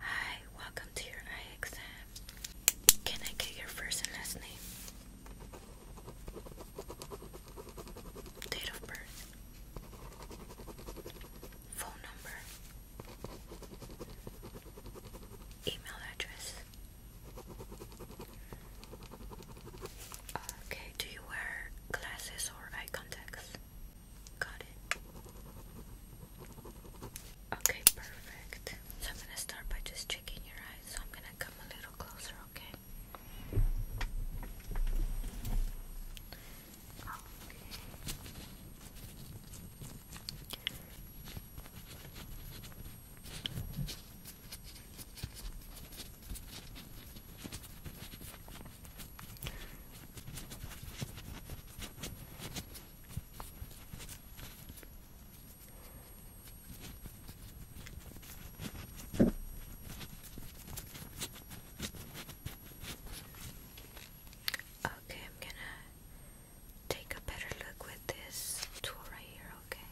Hi, welcome to your eye exam. Can I get your first and last name? Date of birth. Phone number. Email address. Okay, do you wear glasses or eye contacts? Got it. Okay, perfect. So I'm gonna start by just checking your eyes. So I'm gonna come a little closer, okay? Okay. Okay, I'm gonna take a better look with this tool right here, okay?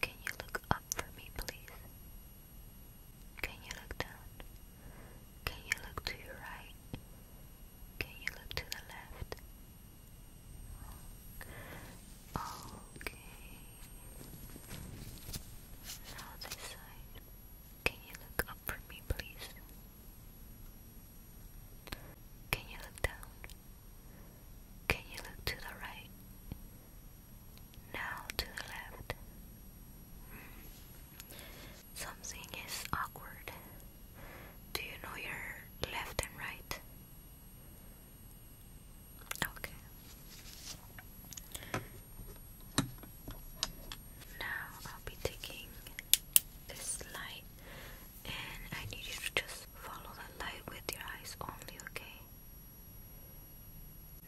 Can you look up for me, please? Can you look down? Can you look to your right? Can you look to the left? Okay. Now this side. Can you look up for me, please? Can you look down? Can you look to the right? Now to the left. Something is awkward. Do you know your left and right? Okay. Now I'll be taking this light and I need you to just follow the light with your eyes only, okay?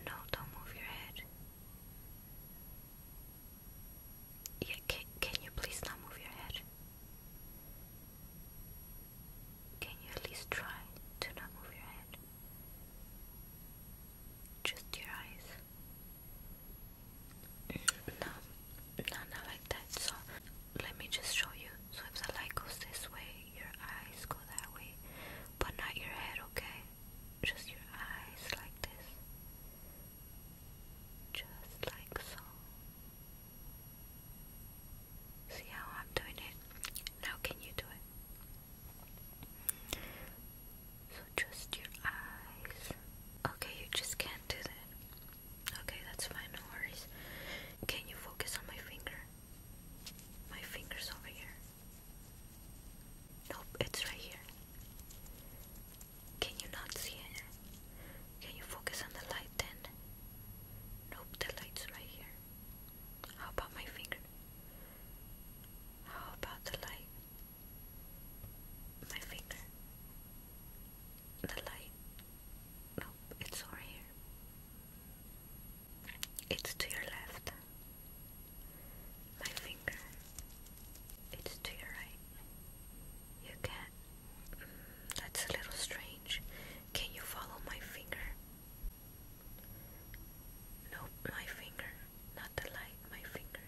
No, don't move your head. can, you please not move your head? Can you at least try to not move your head? Just your eyes. No, no, not like that. So let me just show you. So if the light goes this way, your eyes go that way, but not your head, okay? Just your eyes like this. Just like so. See how I'm doing it? Now can you do it? So just your eyes. Okay, you just can't do that. Okay, that's fine, no worries. Can you focus on my finger? My finger's over here. Nope, it's right here. Can you not see it? Can you focus on the light then? Nope, the light's right here. How about my finger? How about the light? My finger. The light. Nope, it's over here. It's to your left. My finger. It's to your right. You can. that's a little strange. Can you follow my finger? No, my finger. Not the light, my finger.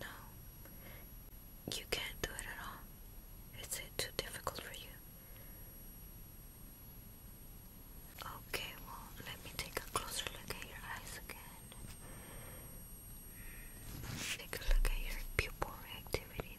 No you can't do it at all. Is it uh, too difficult for you? Okay, well, let me take a closer look at your eyes again. Take a look at your pupil reactivity.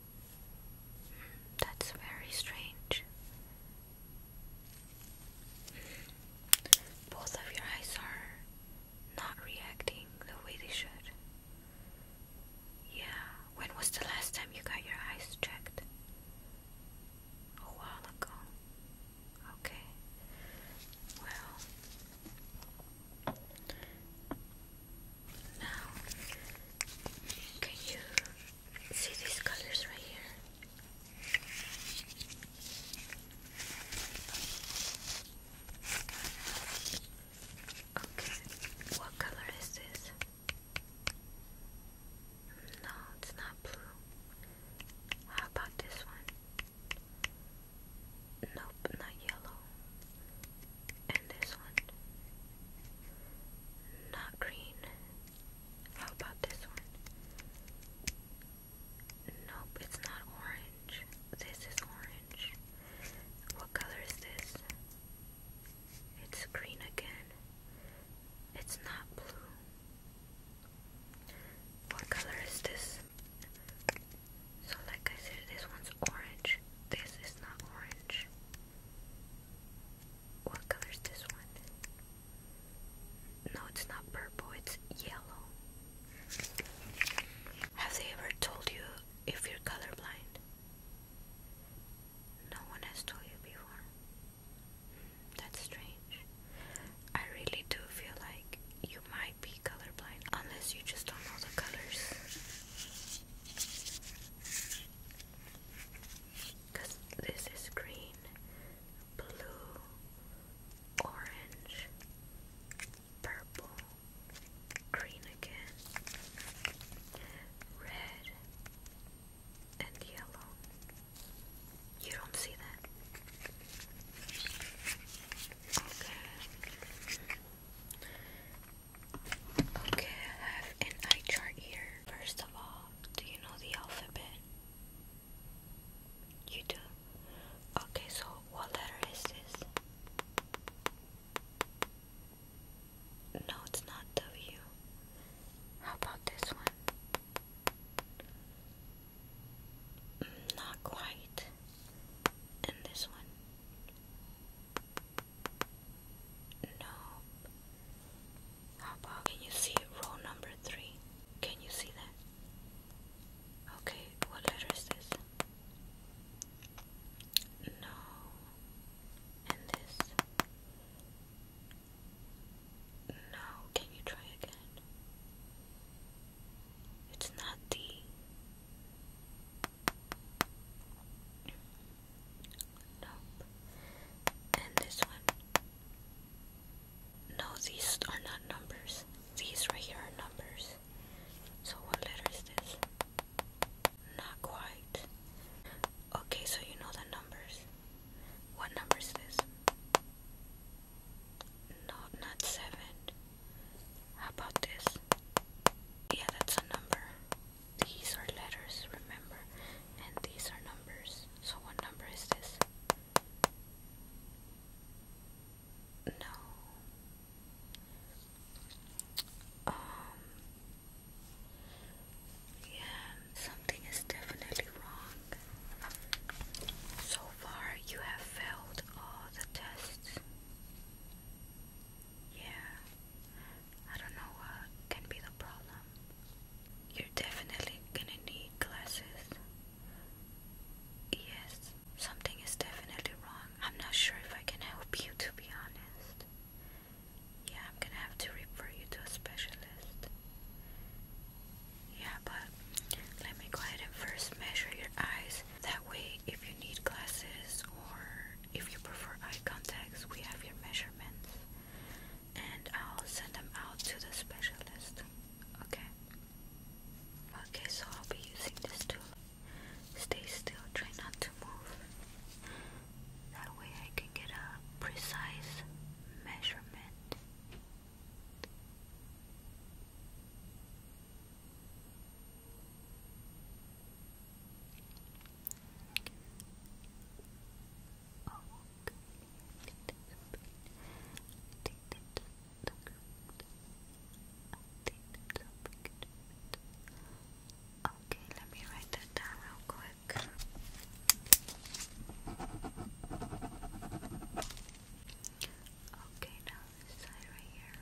That's very strange. Both of your eyes are not reacting the way they should. Yeah, when was the last time you got your eyes checked? A while ago. Okay. Well, now, can you see these colors right here? Okay, what color is this? No, it's not blue. How about this one? Nope, not yellow. And this one. Not green. How about this one? Nope, it's not orange. This is orange. What color is this? It's green again. It's not blue. What color is this? So, like I said, this one's orange. This is not orange. What color is this one? No, it's not purple, it's yellow. Have they ever told you if you're colorblind? No one has told you before. That's strange. I really do feel like you might be colorblind unless you just don't know the colors. Because this is green, blue, orange, purple, green again, red, and yellow. You don't see that? Okay. Okay, I have an eye chart here. First of all, do you know the alphabet? You do? Okay, so what letter is this? No, it's not W. How about this one? Mm, not quite. And this one? Nope. How about can you see row number three? Can you see that? Okay, what letter is this? No. And this? No, can you try again? It's not D. Nope. And this one. No, these are not numbers. These right here are numbers. So what letter is this? Not quite. Okay, so you know the numbers. What number is this? No, not seven. How about this? Yeah, that's a number. These are letters, remember, and these are numbers. So, what number is this? No. Um. Yeah, something is definitely wrong. So far, you have failed all the tests. Yeah, I don't know what can be the problem. You're definitely gonna need glasses. Yes, something is definitely wrong. I'm not sure if I can help you, to be honest. Yeah, I'm gonna have to refer you to a specialist. Yeah, but let me go ahead and first measure your eyes. That way, if you need glasses or if you prefer eye contacts, we have your measurements and I'll send them out to the specialist. Okay? Okay, so I'll be using this tool. Stay still, try not to move. That way I can get a precise measurement. Okay, let me write that down real quick. Okay, now this side right here.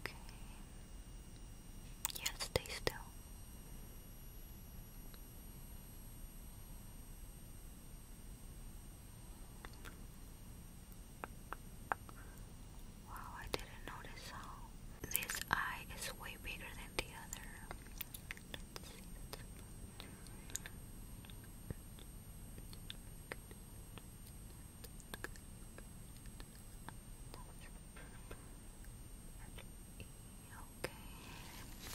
Okay. Yes, stay still. Wow, I didn't notice how this eye is way bigger than the other. Okay,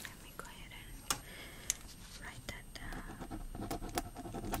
let me go ahead and write that down.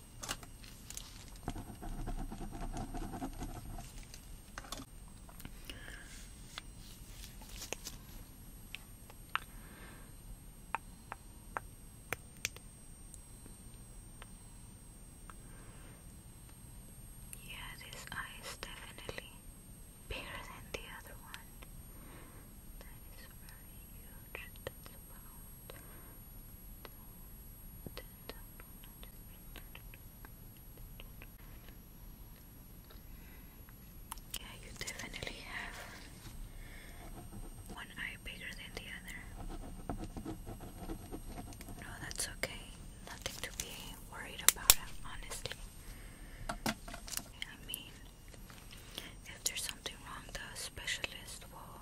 Yeah, this eye is definitely bigger than the other one. That is very huge. That's about yeah, you definitely have one eye bigger than the other. No, that's okay. Nothing to be worried about, honestly. I mean, if there's something wrong, the specialist will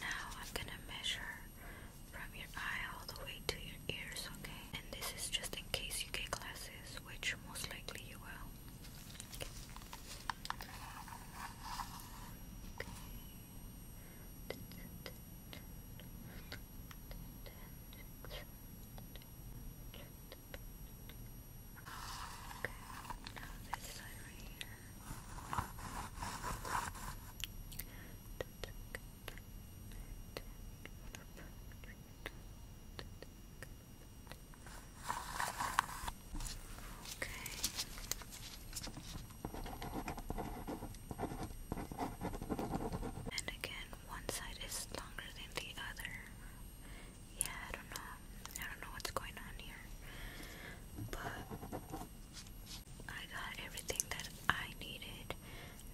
Now I'm gonna measure from your eye all the way to your ears, okay? And this is just in case you get glasses, which most likely you will. Okay, now this side right here. Okay. And again, one side is longer than the other yeah, I don't know. I don't know what's going on here. But I got everything that I needed.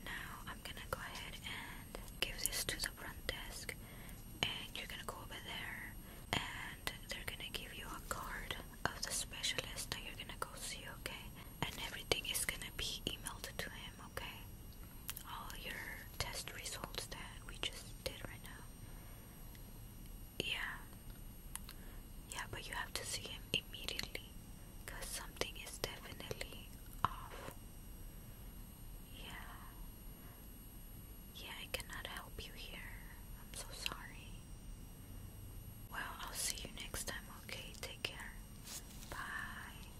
Now I'm gonna go ahead and give this to the front desk, and you're gonna go over there, and they're gonna give you a card of the specialist that you're gonna go see, okay? And everything is gonna be emailed to him okay? All your test results that we just did right now. Yeah. Yeah, but you have to see him immediately because something is definitely off. Yeah. Yeah, I cannot help you here. I'm so sorry. Well, I'll see you next time, okay? Take care. Bye.